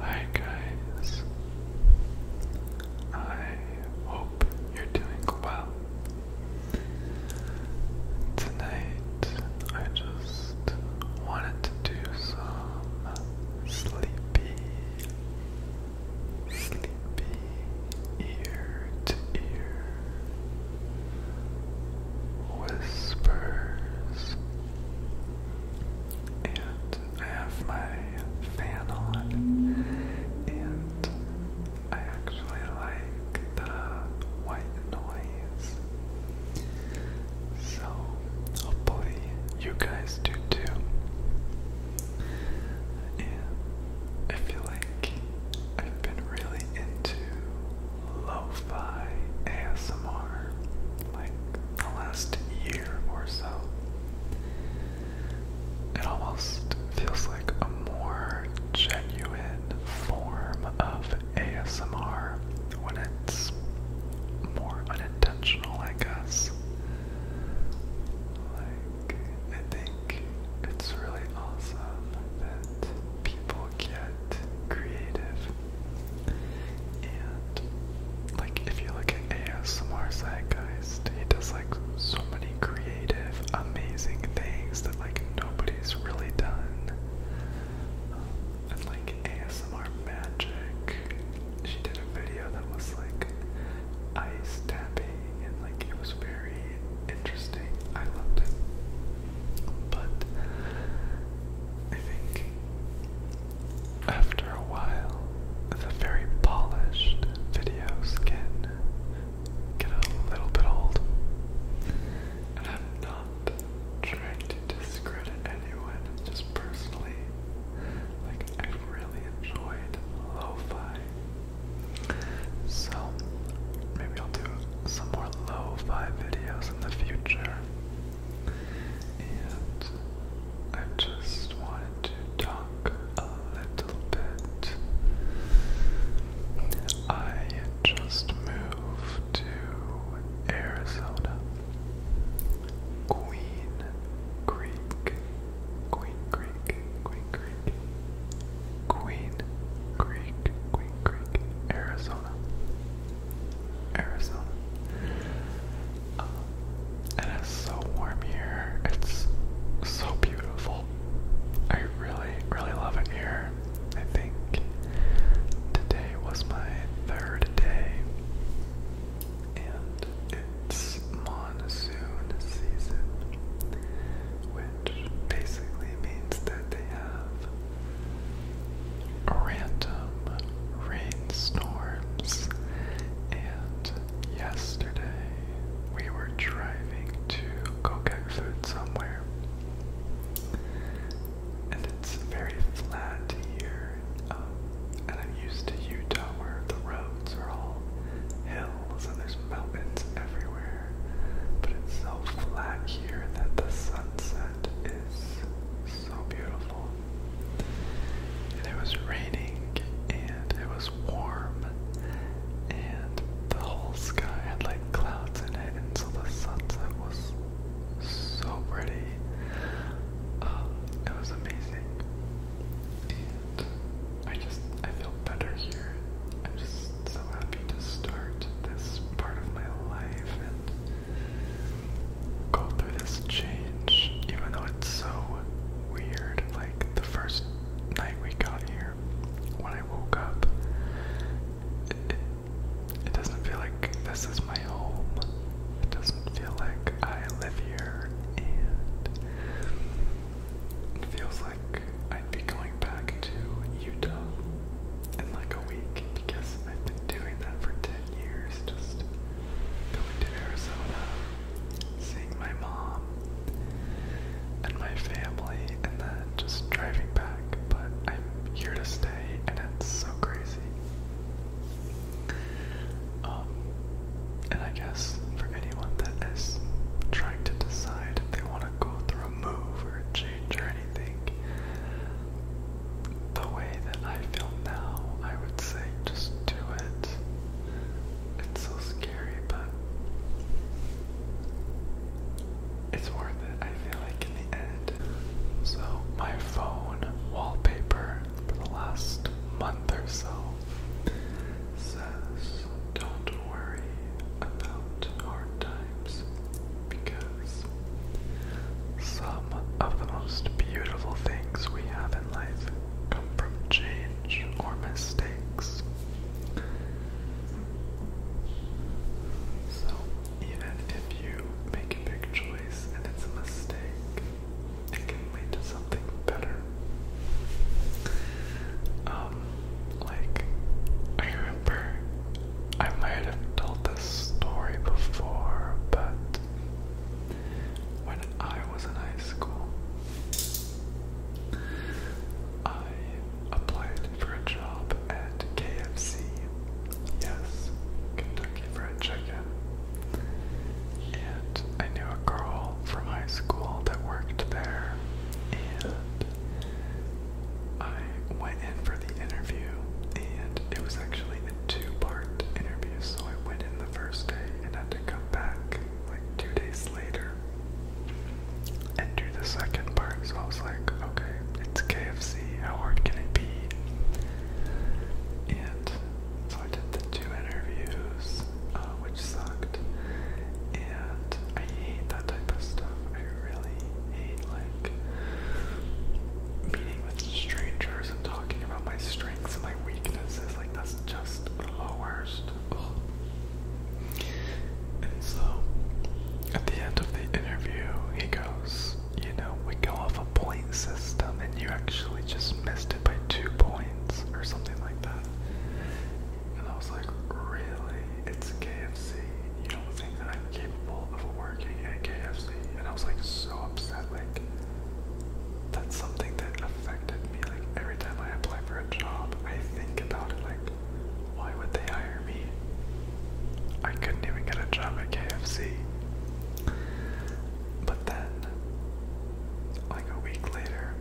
Hi guys. I hope you're doing well. Tonight I just wanted to do some sleepy sleepy ear to ear whispers and I have my fan on, and I actually like the white noise. So, hopefully, you guys do too. And I feel like I've been really into lo fi ASMR like the last year or so. It almost feels like a more genuine form of ASMR when it's more unintentional, I guess. Like, I think it's really awesome that people get creative and like if you look at ASMR guys, he does like so many creative, amazing things that like nobody's really done. Um, and like ASMR Magic, she did a video that was like ice tapping and like it was very interesting. I loved it. But I think after a while, the very polished video skin get a little bit old. And I'm not trying to discredit anyone, just personally. Like I really enjoyed lo So maybe I'll do some more lo-fi videos in the future and I just wanted to talk a little bit. I just moved to Arizona, Queen Creek, Queen Creek, Queen Creek, Queen Creek, Queen Creek, Arizona. Arizona. Um, and it's so warm here. It's so beautiful. I really, really love it here. I think today was my third day, and it's monsoon season, which basically means that they have random rainstorms. And yesterday we were driving to go get food somewhere. And it's very flat here. Um, and I'm used to Utah where the roads are all hills and there's mountains everywhere. But it's so flat here that the sunset is so beautiful. And it was raining and it was warm and the whole sky had like clouds in it and so the sunset was so pretty. Uh, it was amazing. And I just I feel better here. I'm just so happy to start this part of my life and go through this change, even though it's so weird. Like the first night we got here, when I woke up, it, it, doesn't feel like this is my home. It doesn't feel like I live here, and it feels like I'd be going back to Utah in like a week because I've been doing that for days years just going to Arizona, seeing my mom and my family, and then just driving back. But I'm here to stay, and it's so crazy. Um, and I guess for anyone that is trying to decide if they want to go through a move or a change or anything, the way that I feel now, I would say just do it. It's so scary, but it's worth it, I feel like, in the end. So, my phone wallpaper for the last month or so says, Don't worry about hard times because some of the most beautiful things we have in life come from change or mistakes. So, even if you make a big choice and it's a mistake, it can lead to something better. Um, like, I remember I might have told this story before, but when I was in high school, I applied for a job at KFC. Yes, Kentucky Fried Chicken. And I knew a girl from high school that worked there, and I went in for the interview, and it was actually two-part interviews, so I went in the first day and had to come back like two days later and do the second part. So I was like, okay, it's KFC, how hard can it be? And so I did the two interviews, uh, which sucked. And I hate that type of stuff. I really hate like meeting with strangers and talking about my strengths and my weaknesses, like that's just the worst. Ugh. And so, at the end of the interview, he goes, You know, we go off a point system, and you actually just missed it by two points, or something like that. And I was like, Really? It's KFC. You that I'm capable of working at KFC. And I was like so upset. Like, that's something that affected me. Like, every time I apply for a job, I think about it. Like, why would they hire me? I couldn't even get a job at KFC. But then, like a week later,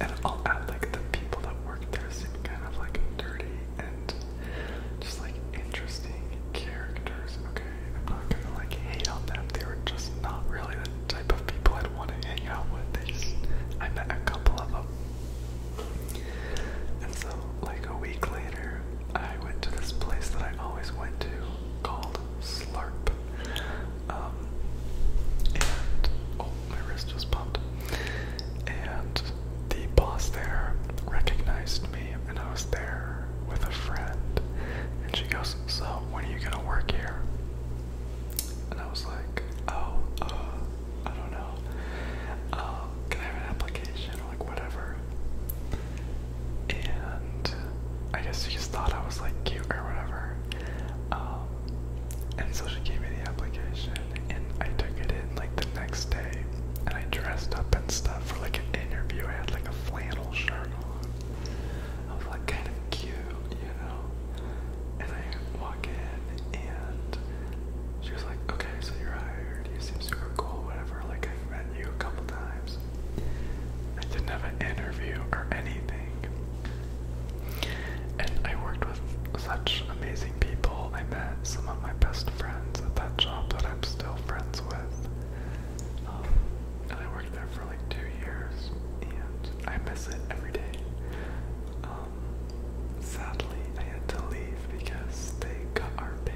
and I'll add like the people that work there seem kind of like dirty and just like interesting characters. Okay, I'm not gonna like hate on them. They were just not really the type of people I'd want to hang out with. They just, I met a couple of them. And so, like a week later, I went to this place that I always went to called Slurp. Um, and oh, my wrist just popped. And the boss there recognized me and I was there with a friend, and she goes, "So when are you gonna work here?" And I was like, "Oh, uh, I don't know. Uh, can I have an application or like whatever?" And I guess she just thought I was like cute or whatever. Um, and so she gave me the application, and I took it in like the next day and I dressed up and stuff for like an interview. I had like a flannel shirt on. I was like kind of cute, you know. And I walk in, and she was like, "Okay, so you're hired. You seem super cool, whatever. Like I've met you a couple times." I didn't have an interview or anything. And I worked with such amazing people. I met some of my best friends at that job that I'm still friends with. Um, and I worked there for like two years, and I miss it every day. Um, sadly, I had to leave because they cut our pay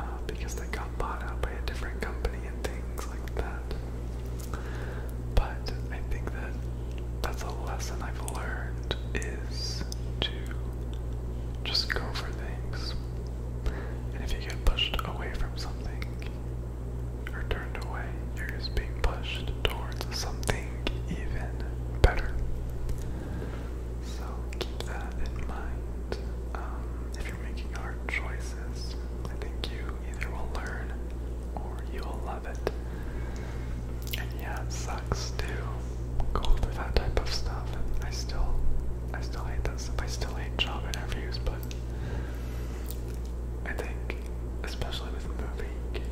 uh, because they got bought out by a different company and things like that. But I think that that's a lesson I've learned is to just go for things. And if you get pushed away from something or turned away, you're just being pushed towards something even better. So keep that in mind. Um, if you're making hard choices, I think you either will learn or you'll love it. And yeah, sucks to go through that type of stuff. I still, I still hate that stuff. I still hate job interviews, but I think, especially with moving,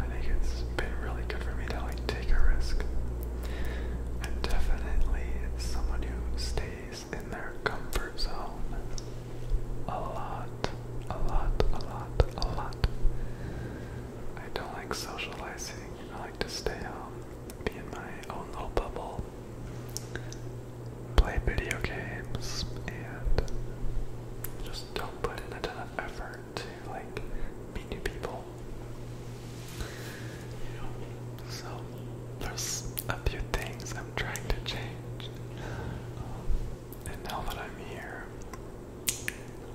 I think it's been really good for me to like take a risk. And am definitely someone who stays in their comfort zone a lot, a lot, a lot, a lot. I don't like socializing. I like to stay home be in my own little bubble, play video games, and just don't put in a effort to like meet new people. You know, so there's a few things I'm trying to change, um, and now that I'm here,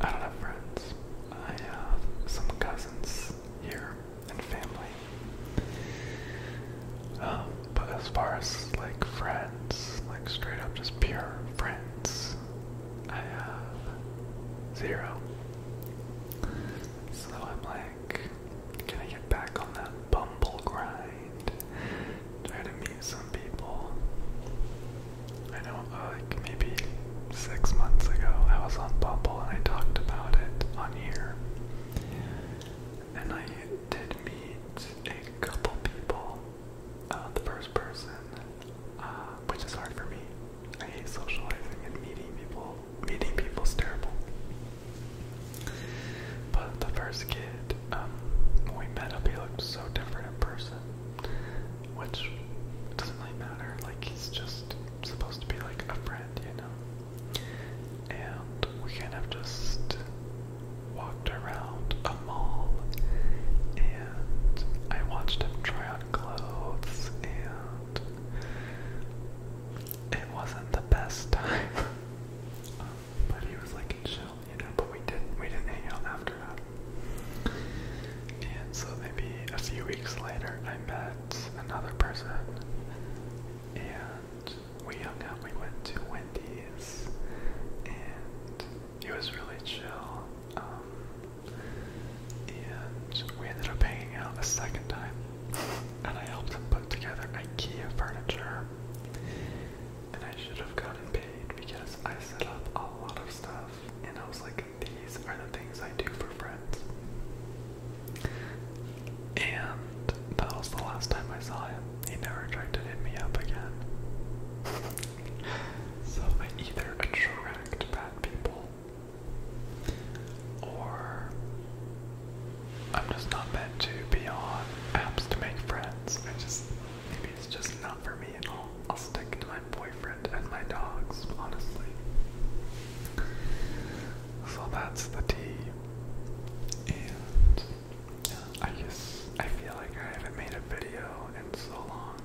I don't have friends. I have some cousins here and family. Um, but as far as like friends, like straight up just pure friends, I have zero. So I'm like, can I get back on that bumble grind? Try to meet some people. I know like maybe six months ago, I was on Bumble and I talked about it on here. And I did meet a couple people. Uh, the first person, uh, which is hard for me. I hate socializing and meeting people. Meeting people's terrible. But the first kid, um, when we met up, he looked so different in person which doesn't really matter. Like he's just supposed to be like a friend, you know. And we kind of just walked around a mall, and I watched him try on clothes, and it wasn't the best time. Um, but he was like chill, you know. But we did not we didn't hang out after that. And so maybe a few weeks later, I met another person, and we hung out. We went to Wendy's, and it was really chill. Um, and we ended up hanging out a second time, and I helped him put together IKEA furniture. And I should have gotten paid because I set up a lot of stuff, and I was like, these are the things I do for friends. And that was the last time I saw him. He never tried to hit me up again. so I either attract bad people or I'm just not meant to be on apps to make friends. I just maybe it's just not for me and I'll I'll stick to my boyfriend and my dogs, honestly. So that's the tea. And I just, I feel like I haven't made a video in so long.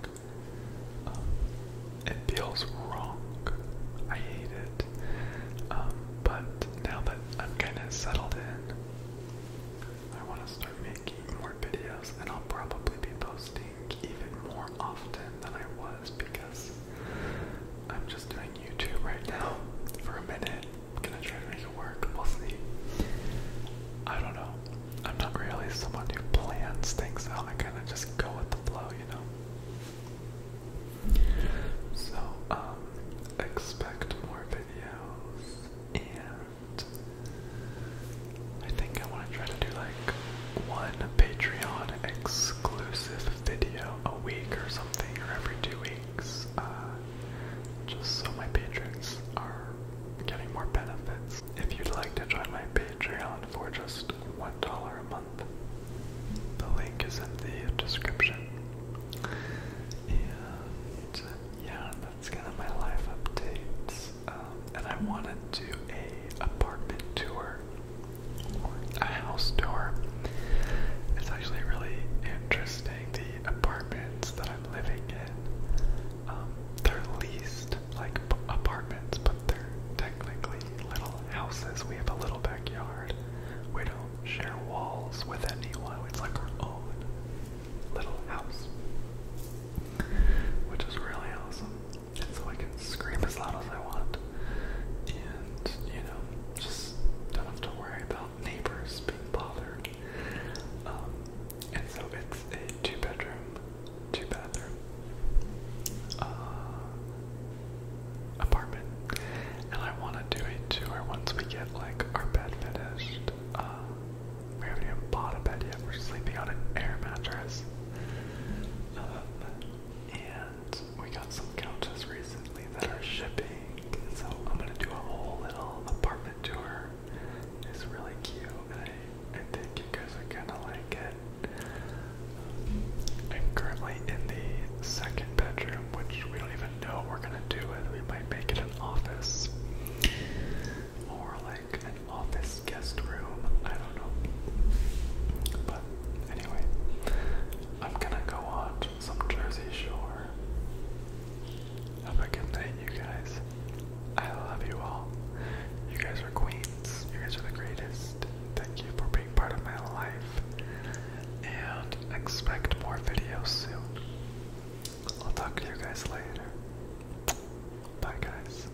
Um, it feels wrong. I hate it. Um, but now that I'm kind of settled in, I want to start making more videos, and I'll probably be posting even more often than I was because I'm just doing YouTube right now for a minute. I'm gonna try to make it work. We'll see. I don't know. I'm not really someone who plans things out. I kind of just go with the flow, you know. So, um, expect more videos and I think I want to try to do like one Patreon exclusive video a week or something, or every two weeks, uh, just so my patrons are getting more benefits. If you'd like to join my Patreon for just $1 a month, the link is in the description. And yeah, that's kind of my life updates place, um, and I want to do a apartment tour or a house tour. It's actually really interesting the apartments that I'm living in. Um, they're leased like apartments, but they're technically little houses. We have a little backyard. We don't share walls with anyone. It's like our own little house, which is really awesome and so I can scream as loud as I want, and you know, just don't have to worry about neighbors being bothered. Um, and so it's a two-bedroom, two-bathroom uh, apartment, and I want to do it too. Where once we get like our bed finished. Uh, we haven't even bought a bed yet. We're sleeping on an air mattress. Um, and we got some couches recently that are shipping, so I'm gonna do a whole little apartment tour. It's really cute, and I, I think you guys are gonna like it. Um, I'm currently in the second bedroom, which we don't even know what we're gonna do with. We might make it an office or like like an office guest room. I don't know. But anyway, I'm gonna go watch some Jersey Shore. Have a good night, you guys. I love you all. You guys are queens. You guys are the greatest. Thank you for being part of my life. And expect more videos soon. I'll talk to you guys later. Bye, guys.